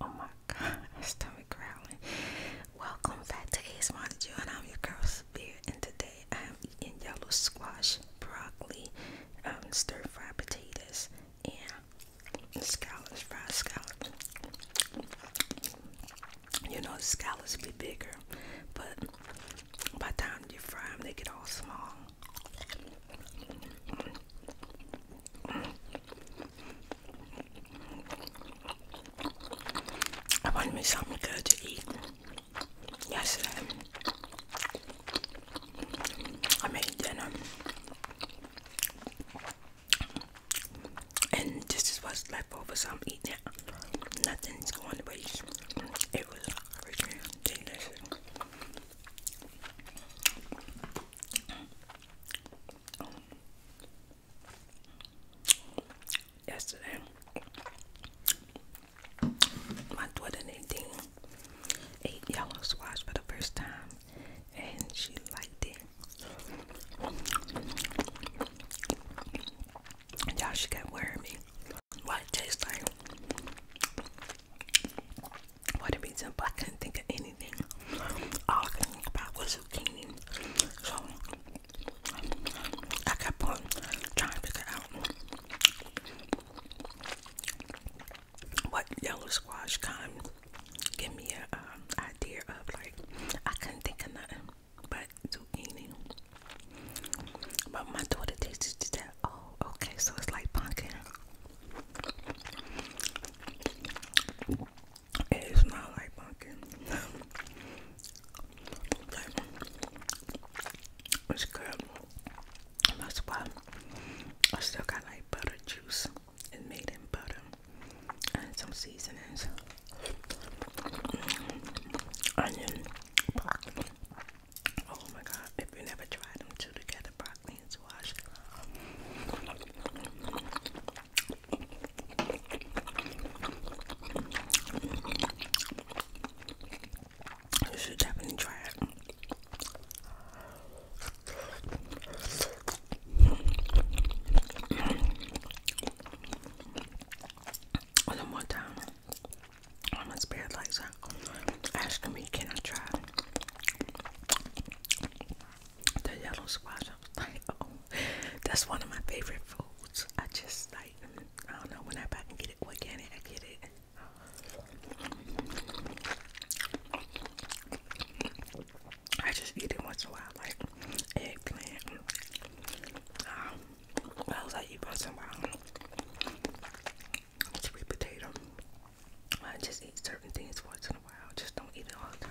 Oh my god, stomach growling. Welcome back to Ace Monitor, and I'm your girl Spear, and today I am eating yellow squash, broccoli, um, stir fried potatoes, and scallops, fried scallops. You know, the scallops be bigger, but by the time you fry them, they get all small. I wanted me something good to eat yesterday. I made dinner. And this is what's left over, so I'm eating it. Nothing's going to waste. It was delicious yesterday my daughter Nadine ate yellow squash for the first time and she liked it. And y'all she kept wearing me. What it tastes like for the reason but I couldn't think of anything. All I could think about was zucchini. So I kept on trying to figure out what yellow squash kind give me an um, idea of like I couldn't think of nothing but zucchini. But my daughter tasted that. Oh, okay, so it's like pumpkin. It is not like pumpkin. it's good. That's why I still got like butter juice. It's made in butter and some seasonings. Mm-hmm. Onion, broccoli. Oh my god, if you never tried them two together, broccoli planes wash. You should definitely try it. One more time. I'm gonna spare asking me, can I try the yellow squash? Oh, that's one of my favorite foods. I just like, I don't know, whenever I can get it I get it. I just eat it once in a while, like eggplant. Um, what else eat once a while? sweet potato. I just eat certain things once in a while. Just don't eat it all the time.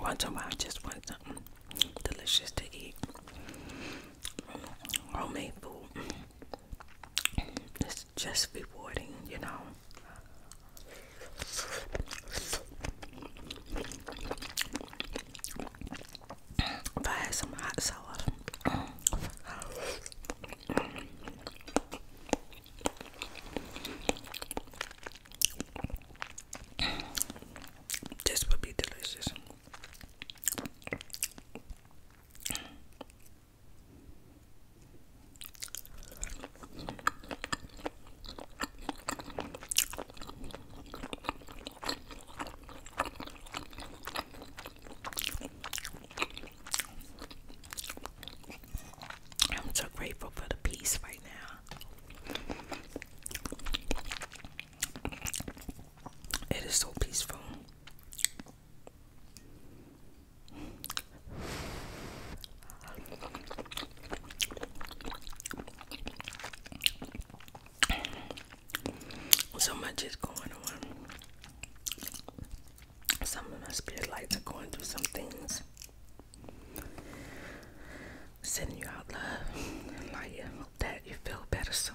Once in a while, I just want something delicious to eat. Homemade food. It's just rewarding, you know. If I had some hot sauce, this would be delicious. I'm so grateful for the peace right now. It is so peaceful. So much is going on. Some of my spirit lights are going through some things. Sending you out love and Hope that you feel better soon.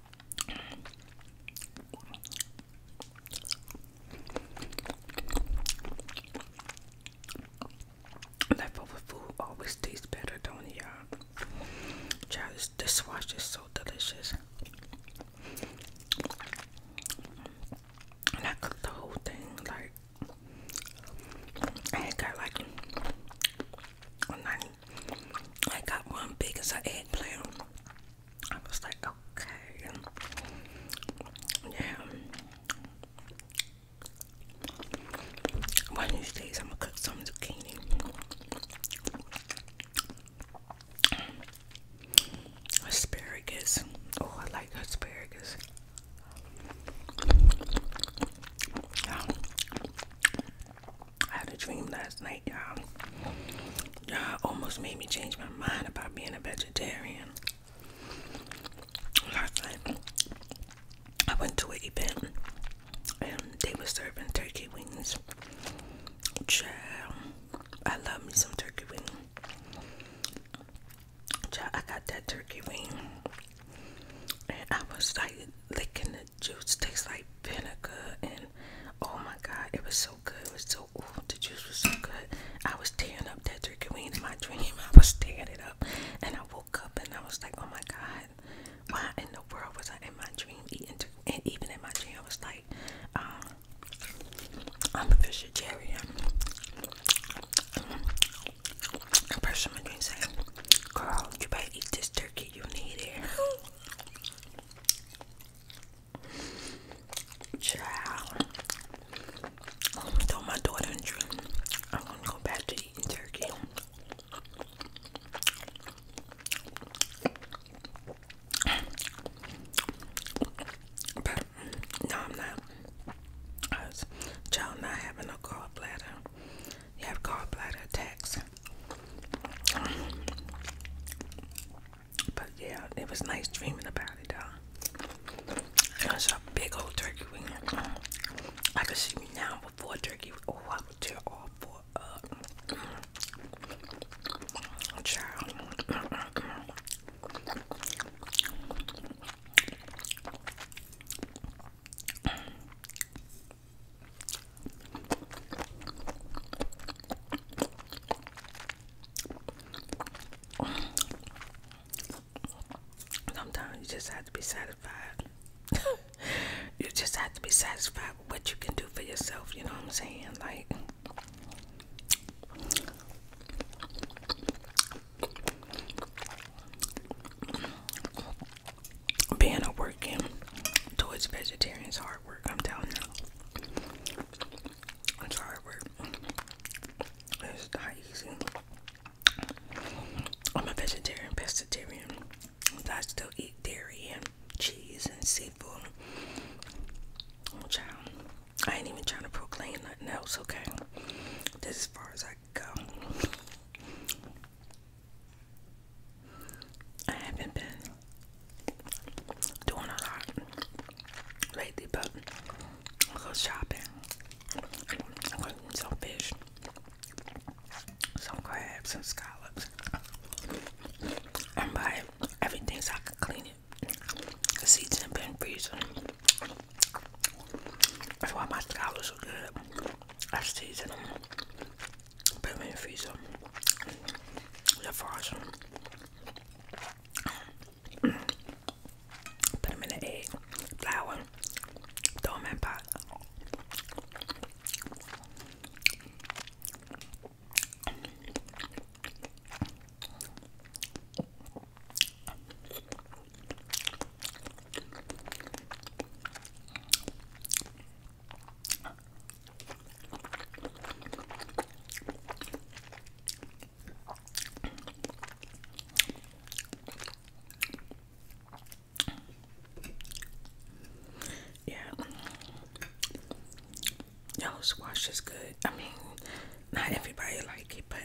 Leftover food always tastes better, don't it, y'all? Child, this dishwasher is so delicious. I cooked the whole thing, like, I got like I got one big as an eggplant. I was like, okay. Yeah. One of these days, I'm gonna cook some zucchini. Asparagus. Oh, I like asparagus. I had a dream last night, y'all. Y'all almost made me change my mind about being a vegetarian. Last night, I went to an event and they were serving turkey wings. Child, I love me some turkey wing. Child, I got that turkey wing and I was like licking juice tastes like vinegar and oh my god it was so good it was so ooh, the juice was so good i was tearing up that turkey weed in my dream i was tearing it up and i woke up and i was like oh my god why in the world was i in my dream eating and even in my dream i was like um, i'm a vegetarian a person in my dream saying girl you better eat this turkey you need it Child. I'm my daughter dream. I'm to go back to eating turkey. But no, I'm not. child not having a gallbladder. You have gallbladder attacks. But yeah, it was nice dreaming about it, though. And I saw a big old turkey wing. I could see me now before turkey. Oh, I would tear all four up. Child. Sometimes you just have to be satisfied. you just have to be satisfied with what you can do for yourself, you know what I'm saying? Like being a working towards vegetarians hard work, I'm telling you. It's hard work. It's not easy. I'm a vegetarian, pescatarian. I still eat dairy and cheese and seafood. child. I ain't even trying to proclaim nothing else, okay? This as far as I go. I haven't been doing a lot lately, but I go shopping. I go some fish, some crabs, some scallops. and buy everything so I can clean it. The season been freezing. That's why my scallops are good. I season them, put them in freezer. They're put them in the egg, flour, throw them pot. Yeah. Yo, squash is good. I mean, not everybody like it, but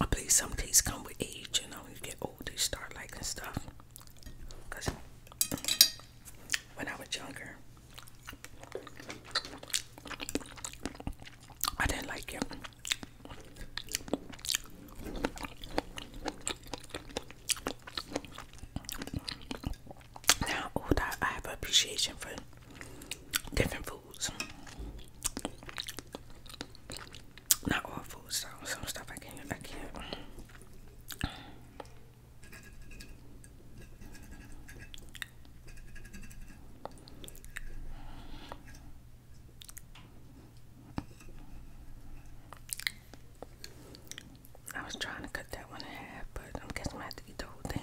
I believe some tastes come with age, you know, when you get old, you start liking stuff. Because when I was younger, I didn't like it now old oh, I, have appreciation for different foods. Not all foods though, some stuff I can't I can't I was trying to cut that one in half, but I'm guessing I have to eat the whole thing.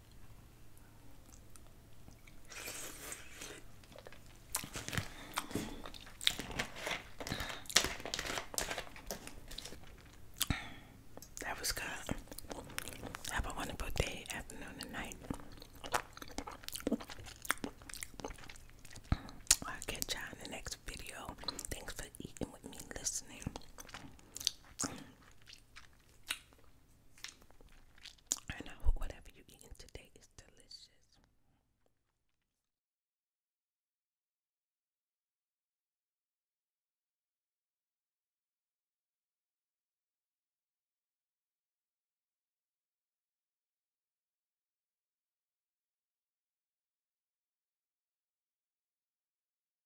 That was good. Have a wonderful day, afternoon, and night. I'll catch y'all in the next video. Thanks for eating with me, listening. I hope whatever you eating today is delicious.